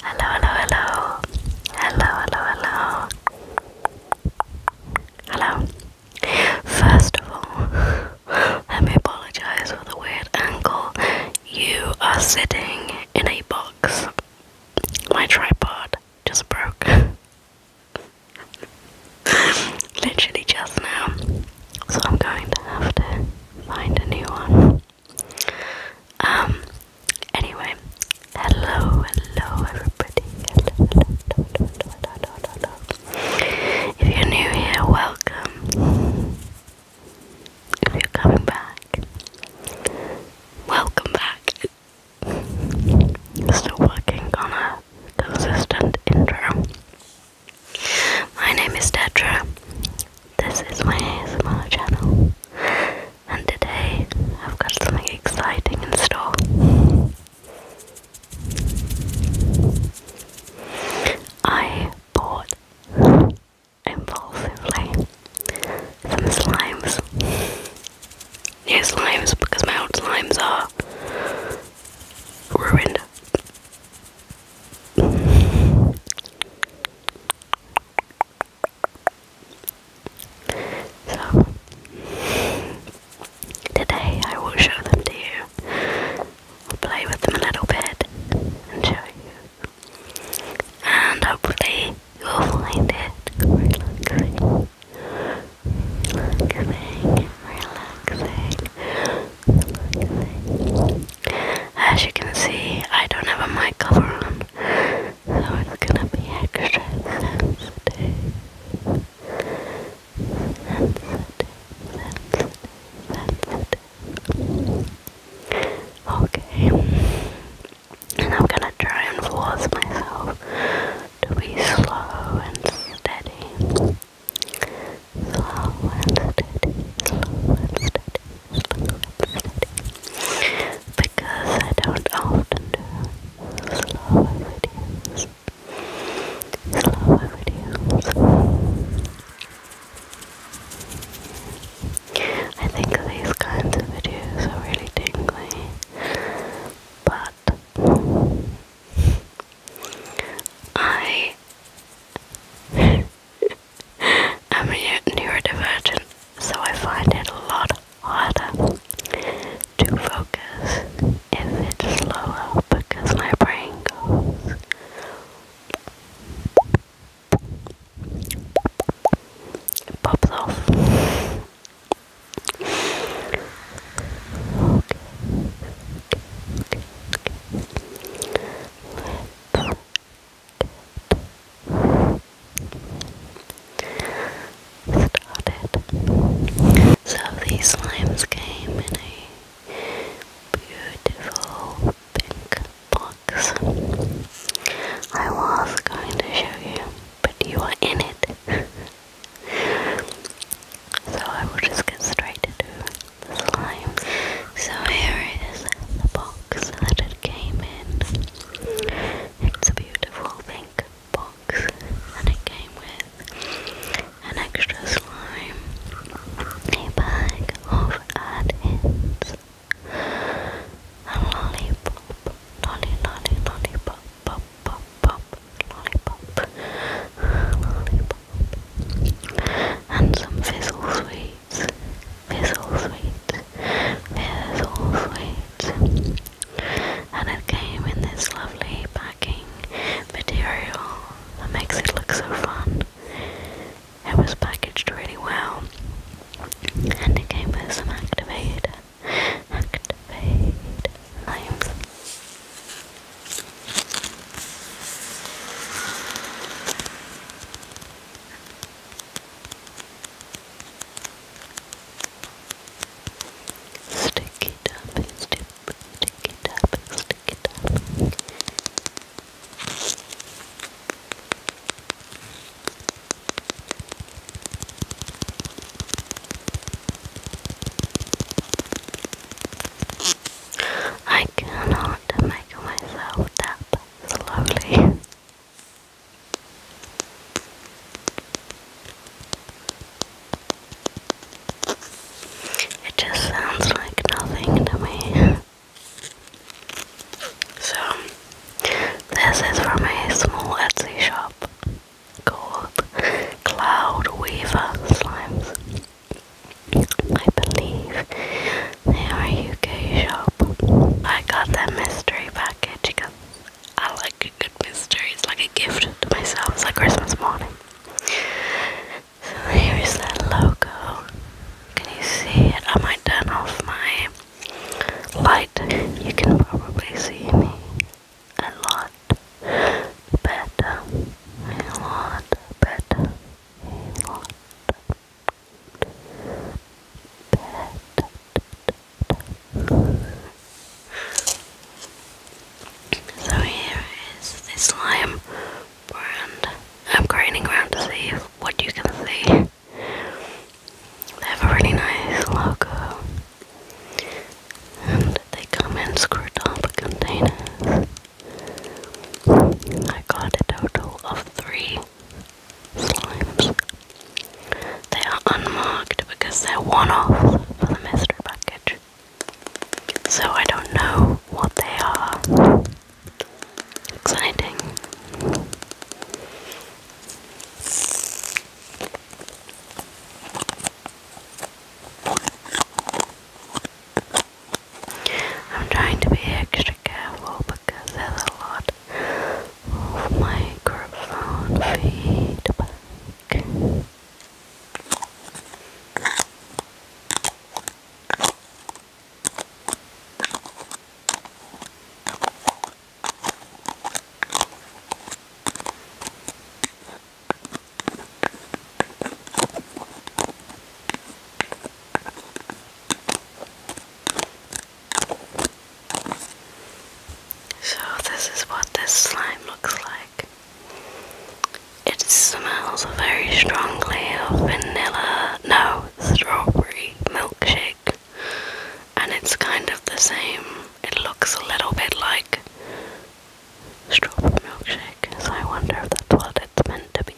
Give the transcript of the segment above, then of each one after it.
Hello, hello, hello. Hello, hello, hello. Hello. First of all, let me apologize for the weird angle. You are sitting in a box. My tripod just broke. literally just now. So I'm going to have to find a new one. Um anyway, hello, hello everybody. If you're new here, welcome. If you're coming back, welcome back. Still working on a consistent intro. My name is Tetra. This is my ASMR channel, and today I've got something exciting in store. I bought impulsively some slimes. New slimes because my old slimes are ruined. So, today I will show them to you. I'll play with them a little bit and show you. And hopefully, you'll find it relaxing. Relaxing, relaxing. As you can see, I don't have a mic cover on, so it's gonna be extra sensitive. Sensitive, Okay. And I'm gonna try and force myself to be slow and steady. Slow and steady, slow and steady, slow and steady. Because I don't often do slower videos. Slower videos. I think these kinds of videos are really tingly, but I am a neurodivergent, so I find it a lot harder to focus if it's slower because my brain goes. It pops off. So these slimes came in a beautiful pink box. I was going to show you, but you are in it. So I will just get straight to the slime. So here is the box that it came in. It's a beautiful pink box and it came with an extra slime, a bag of add-ins, a lollipop, lolly lollipop, pop pop pop, lollipop, lollipop, and some fizzle sweets, fizzle sweets, fizzle sweets, and it came in this lovely packing material that makes it look so fun. It was packaged really well, and it came with some activator, activator. Names. Stick it up, stick, stick it up, stick it up. I cannot make myself tap slowly. It just sounds like nothing to me. So, this is from a small Etsy shop called Cloud Weaver Slimes. I believe they are a UK shop. I got that mystery package because I like a good mystery. It's like a gift to myself. It's like Christmas morning. So here's that logo. Can you see it? I might turn off my light. You can probably see me a lot better, a lot better, a lot better. So here is this slime brand. I'm craning around to see what you can see. They have a really nice logo. And they come in screwed up containers. I got a total of three slimes. They are unmarked because they're one off for the mystery package. So I don't know what they are. Exciting. I'm trying to be extra careful because there's a lot of microphone feedback. So, this is what this slime looks like. It smells very strongly of vanilla, no, strawberry milkshake, and it's kind of the same. It looks a little bit like strawberry milkshake, so I wonder if that's what it's meant to be.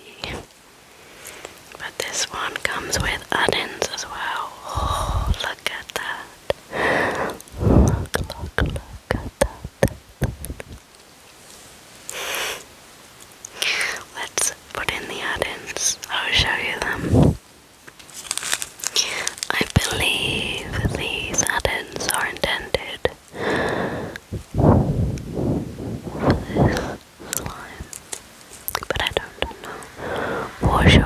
But this one comes with add-ins as well. Oh, look at that. Look, look, look at that. Let's put in the add-ins. I'll show you them. I believe these add-ins are intended but I don't know for sure.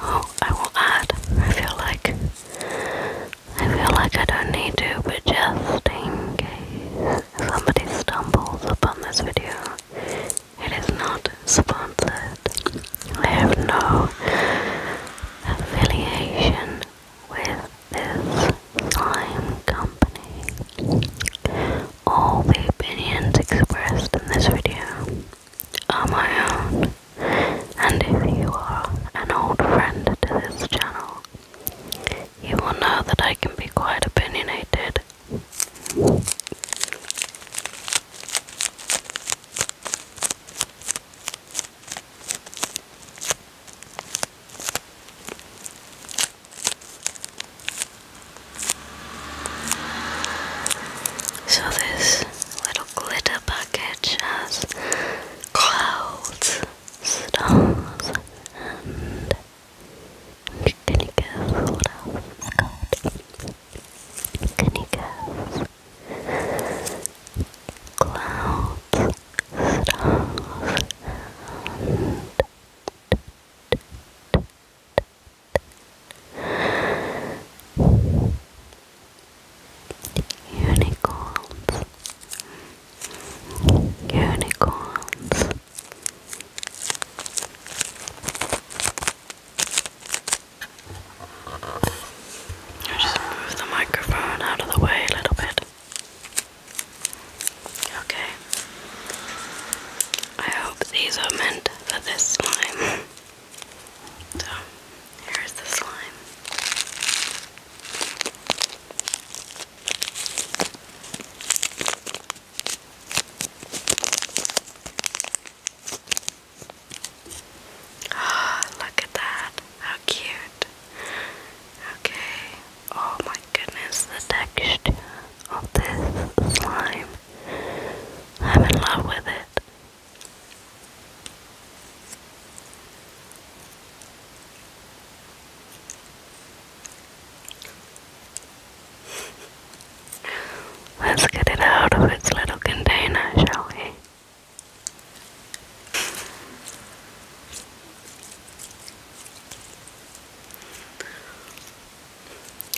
Oh, I will add. I feel like I feel like I don't need to, but just in case somebody stumbles upon this video it is not sponsored. I have no affiliation with this slime company. All the opinions expressed in this video are my own, and if you are an old friend to this channel, you will know that I can be quite opinionated so, this little glitter package has clouds, stars, and. Can you guess Canicas, clouds, stars, unicorns, unicorns i just move the microphone out of the way a little bit. Okay. I hope these are meant for this slime. So, here's the slime oh, look at that. How cute. Okay. Oh my goodness, the texture of this slime. I'm in love with it. Let's get it out of its little container, shall we?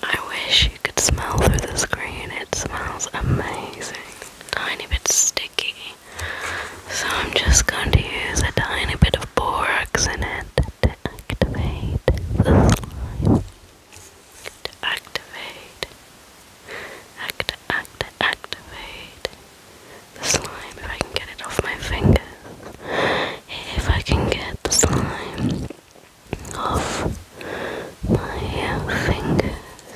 I wish you could smell through the screen. It smells amazing. Tiny bit sticky. So I'm just going to use a tiny bit of borax in it to activate the slime activate, act, act, activate the slime if I can get it off my fingers. If I can get the slime off my fingers,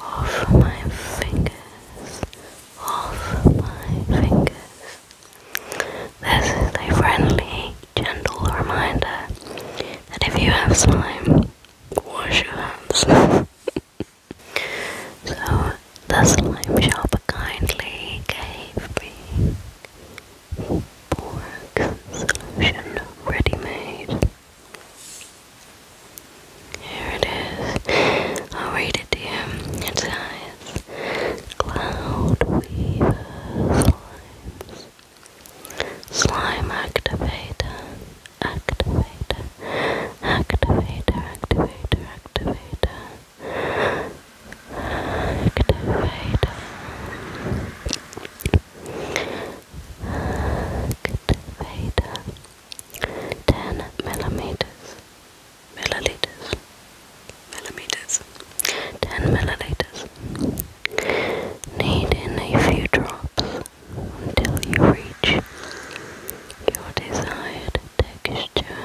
off my fingers, off my fingers. This is a friendly, gentle reminder that if you have slime, wash your hands. so the slime shop kindly gave me Borg solution ready made. Here it is. I'll read it to you. It says Cloud Weaver Slimes Slime activator, activator, activator, activator, activator, activator, activator, ten millimeters, milliliters, millimeters, ten milliliters. Knead in a few drops until you reach your desired texture.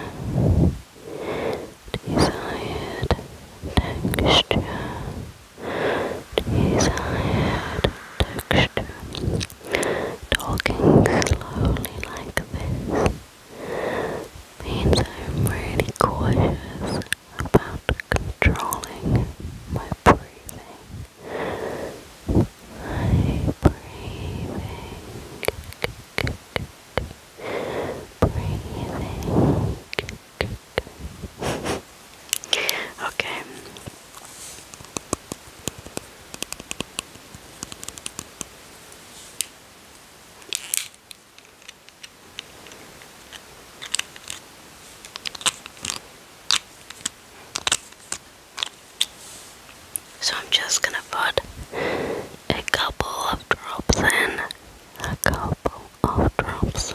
Desired texture. Desired texture. Talking slowly like this means I'm really cautious about controlling my breathing. My breathing. Breathing. okay. So I'm just gonna put a couple of drops in, a couple of drops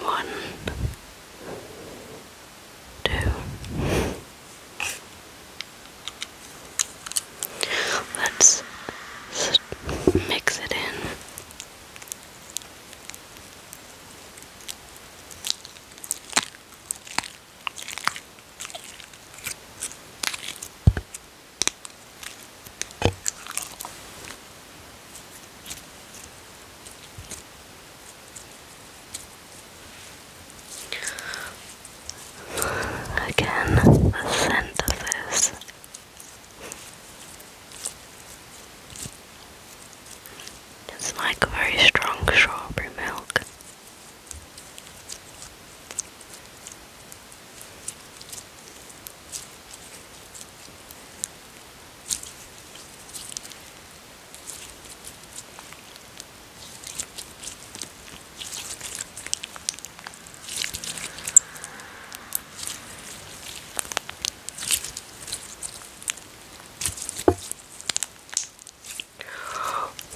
One, two. Let's mix it in. Again, the scent of this it's like very strong strawberry milk.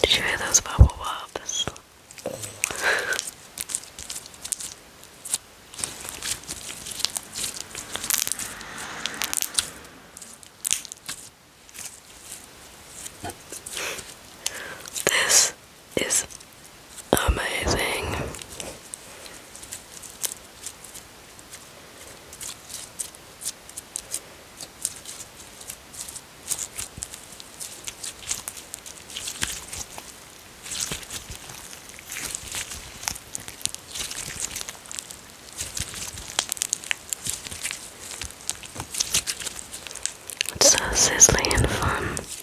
Did you hear those bubble pops? this is amazing. It's so sizzly and fun.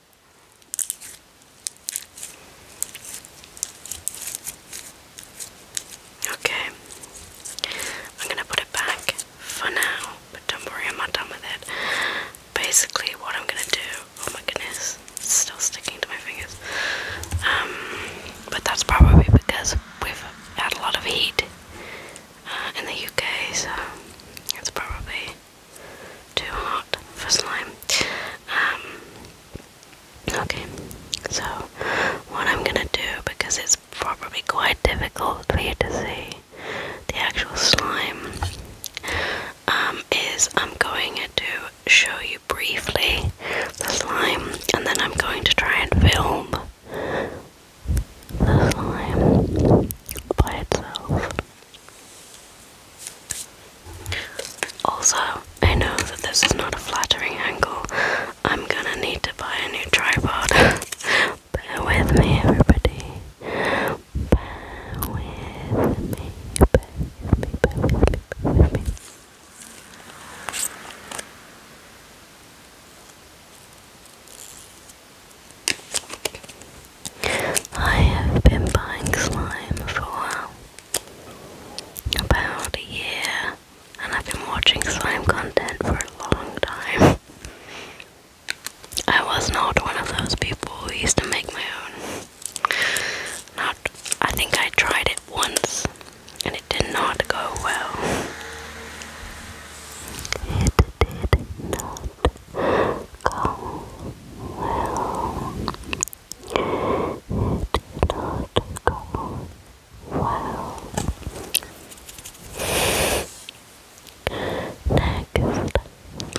Okay, I'm gonna put it back for now, but don't worry, I'm not done with it. Basically, what I'm gonna do oh my goodness, it's still sticking to my fingers. Um, but that's probably because we've had a lot of heat uh, in the UK, so it's probably too hot for slime. Um, okay, so what I'm gonna do, because it's probably quite difficult for you to see the actual slime, um, is I'm going to show you briefly the slime, and then I'm going to try and film the slime by itself. Also, I know that this is not a flattering angle. I'm gonna need to buy a new tripod. Bear with me, everybody. Bear with me. I have been buying slime for a while. About a year. And I've been watching slime content for a long time. I was not one of those people who used to make my own. Not, I think I tried it once and it did not go well. It did not it did not go well. Next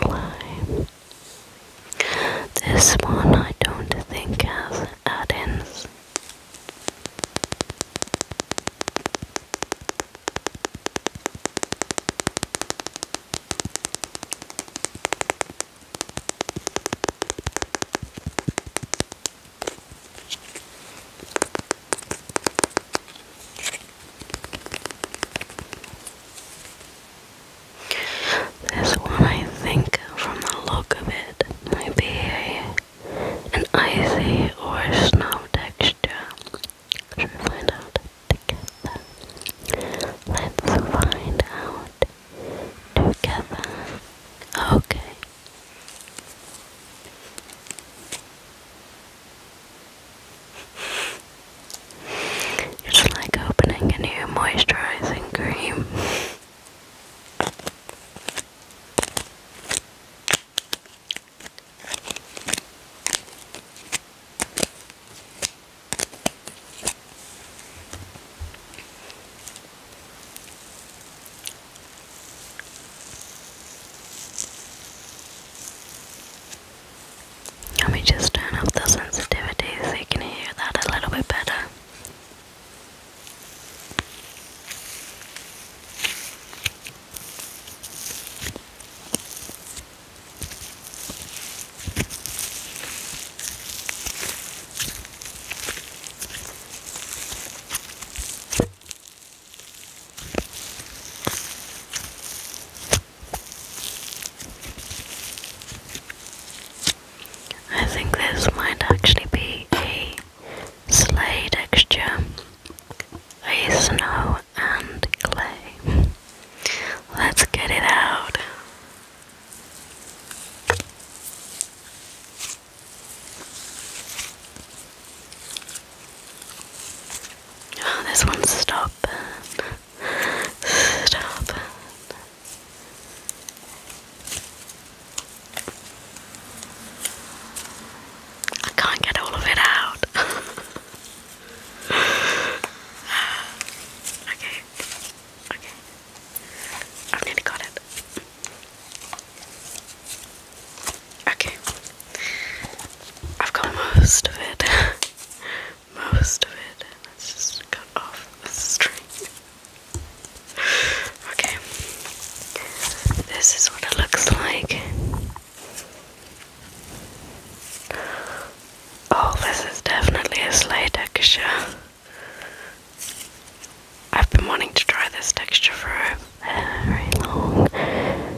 slime. This one I don't think has add-ins. This one, I think, from the look of it, might be an icy or snow texture. Should find out? together. Let's find out together. Okay. It's like opening a new moisturizing cream. Let me just turn up the sensitivity so you can hear that a little bit better. I think this might actually be a slay texture, a snow and clay. Let's get it out. Oh, this one's stopping. Stopping. I can't get all of it out. okay. Okay. i nearly got it. Okay. I've got most of it. most of it. Let's cut off the string. okay. This is what it looks like. Oh, this is definitely a sleigh texture. I've been wanting to try this texture for a very long time.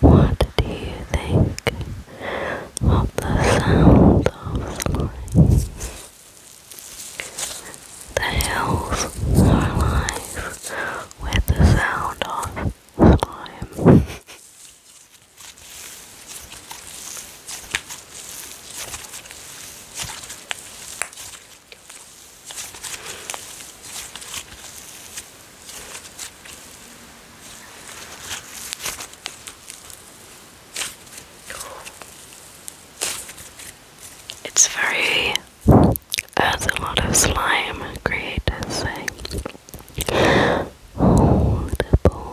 What do you think of the sound of slime? The hills are alive with the sound of slime. It's very, as a lot of slime creators say, holdable.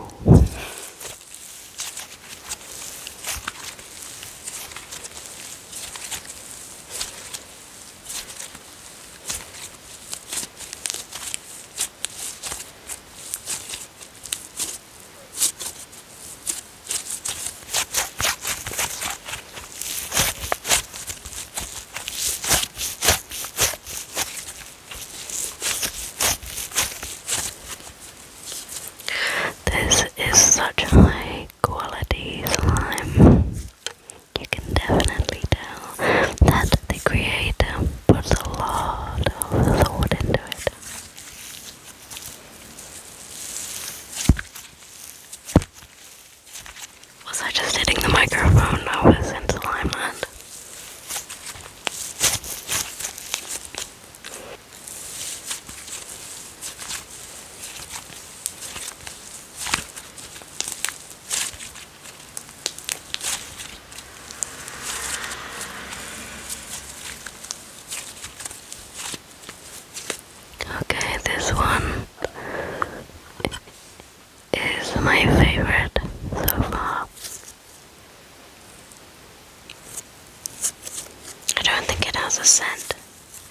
This is such high quality slime you can definitely tell that the creator puts a lot of thought into it. Was I just hitting the microphone? I was in Slimeland. Okay, this one is my favorite so far. I don't think it has a scent.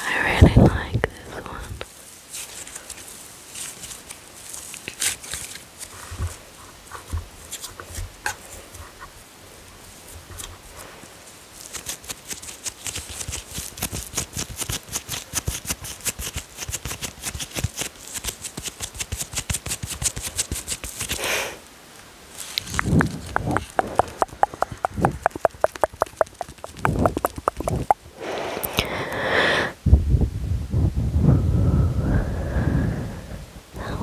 I really like this one. That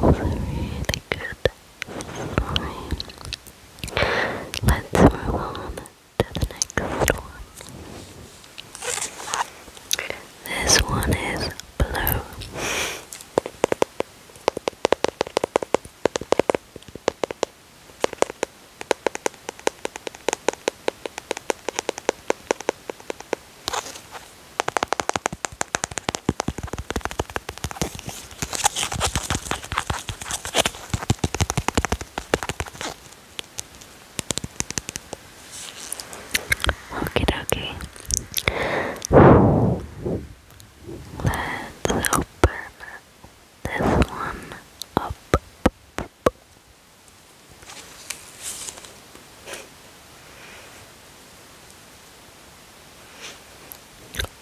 was really good story. Let's move on to the next one. This one is blue. Okie dokie. Let's open this one up.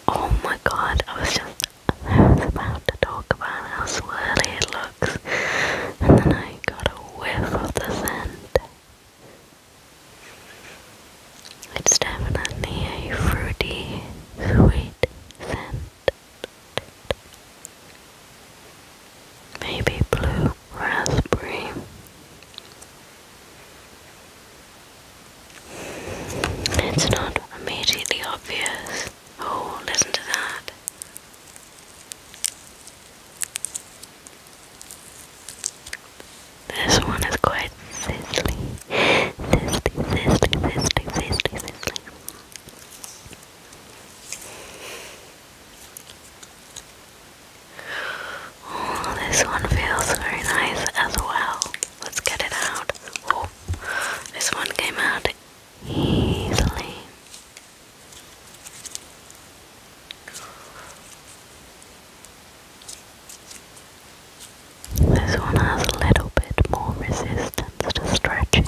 Oh my god, I was just about to talk about how swirly it looks and then I got a whiff of the scent. It's definitely a fruity, sweet scent. Maybe blue raspberry. It's not immediately obvious. Oh, listen to that. This one is quite sizzly. Sizzly, sizzly, sizzly, sizzly, sizzly. Oh, this one feels very nice as well. Let's get it out. Oh, this one came out easily. This one has a little bit more resistance to stretching.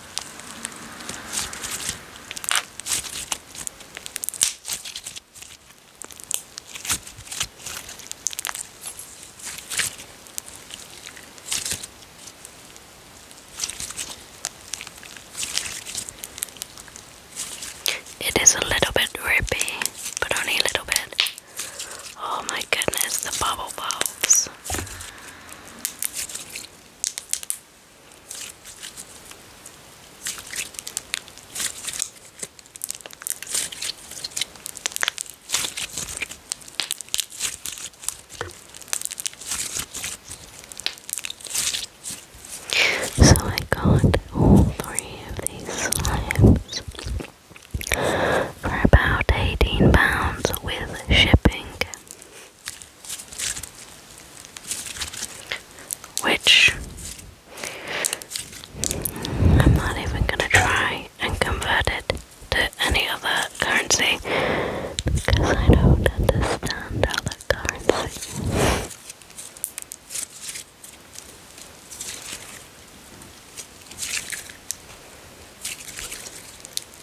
It is a little bit rippy, but only a little bit. Oh my goodness, the bubble bulbs. So I got all three of these slimes for about £18 with shipping. Which I'm not even gonna try and convert it to any other currency because I don't understand other currency.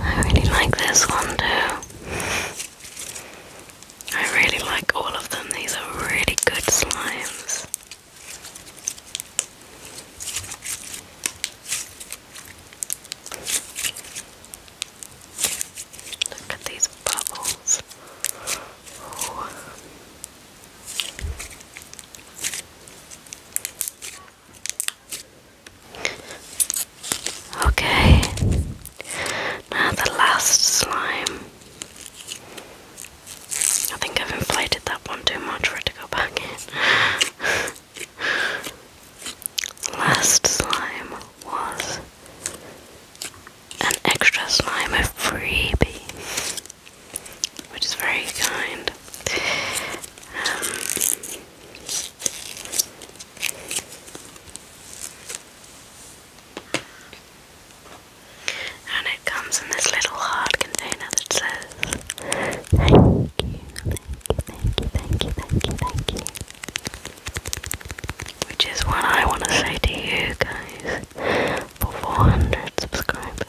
I really like this one too. I really like all of them. These are really good slimes. Look at these bubbles. Okay, now the last slime. I think I've inflated that one too much for it to go back in. last slime was an extra slime of freebie which is very kind. Um, and it comes in this little hard container that says, Thank you, thank you, thank you, thank you, thank you, which is what I want to say to you guys for 400 subscribers.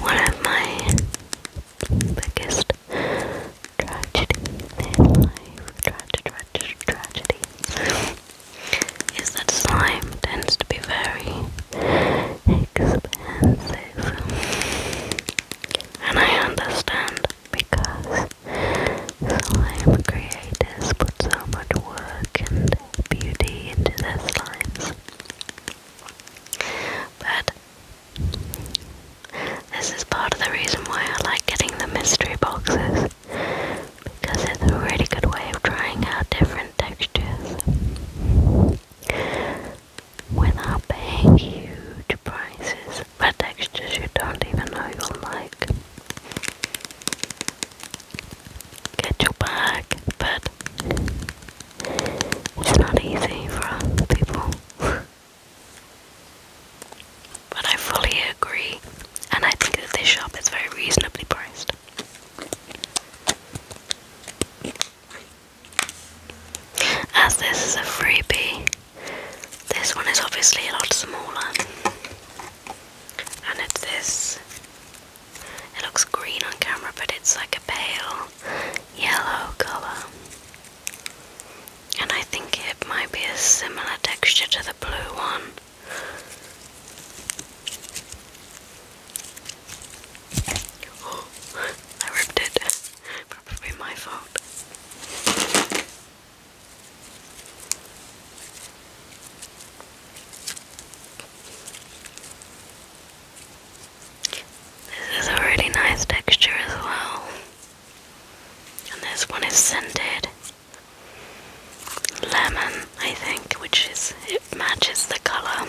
One of my biggest tragedies in life, tragedy, tragedy, tragedy, is that slime tends to be very expensive. And I understand because slime creators put so much work and beauty into their slimes. But this is part of the reason why I like getting the mystery boxes because it's a really good way of trying out different textures without paying huge prices for textures you don't even know you'll like. Get your bag, but it's not easy for other people. but I fully agree, and I think that this shop is very reasonably priced. As this is a freebie, this one is obviously a lot smaller, and it's this it looks green on camera, but it's like a pale yellow color. And I think it might be a similar texture to the blue one. Oh, I ripped it. Probably my fault. This is a really nice texture as well. And this one is scented lemon, I think, which is it matches the colour.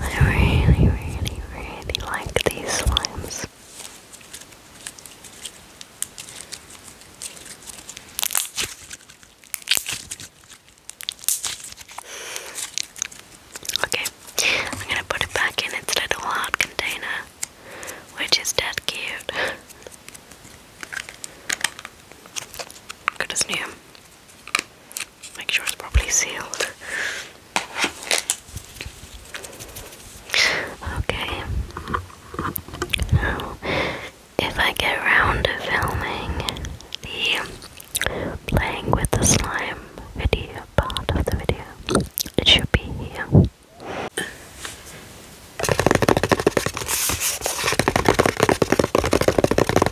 I really, really, really like these slimes. Okay, I'm gonna put it back in its little hard container, which is dead cute. Good as new. Make sure it's properly sealed. Okay. if I get around to filming the playing with the slime video part of the video, it should be here.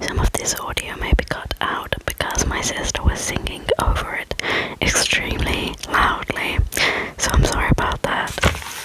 Some of this audio may be cut out because my sister was singing over it extremely loudly, so I'm sorry about that.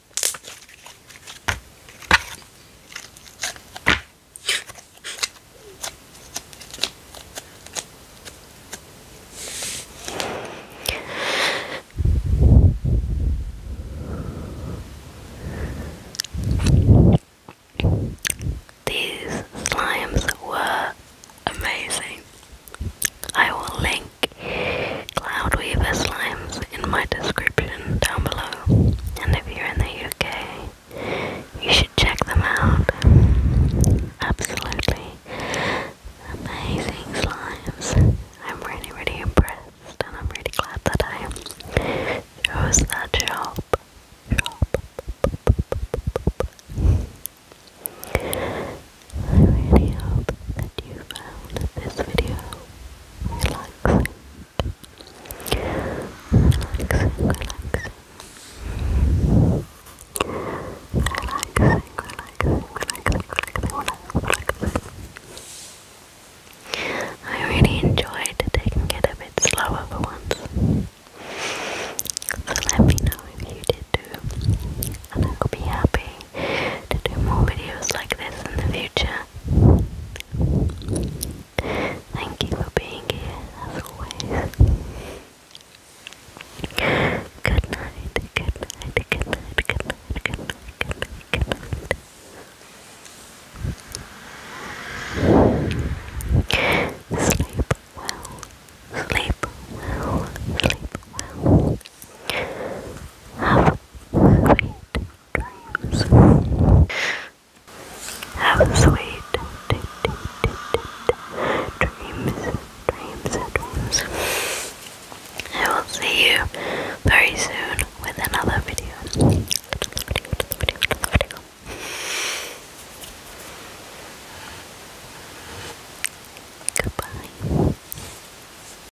These slimes were amazing. I will link Cloudweaver slimes in my description down below. And if you're in the UK, you should check them out. Absolutely amazing slimes. I'm really, really impressed, and I'm really glad that I chose that job. I really hope that you found this video I really enjoyed They can get a bit slower for once. So let me know if you did too, and I will be happy to do more videos like this in the future. Thank you for being here, as always. Good night, good night, good night, good night, good night, good night, Sleep well, sleep well, sleep well. Have sweet dreams. Have sweet dreams, dreams, dreams. I will see you very soon with another video. another video. Goodbye.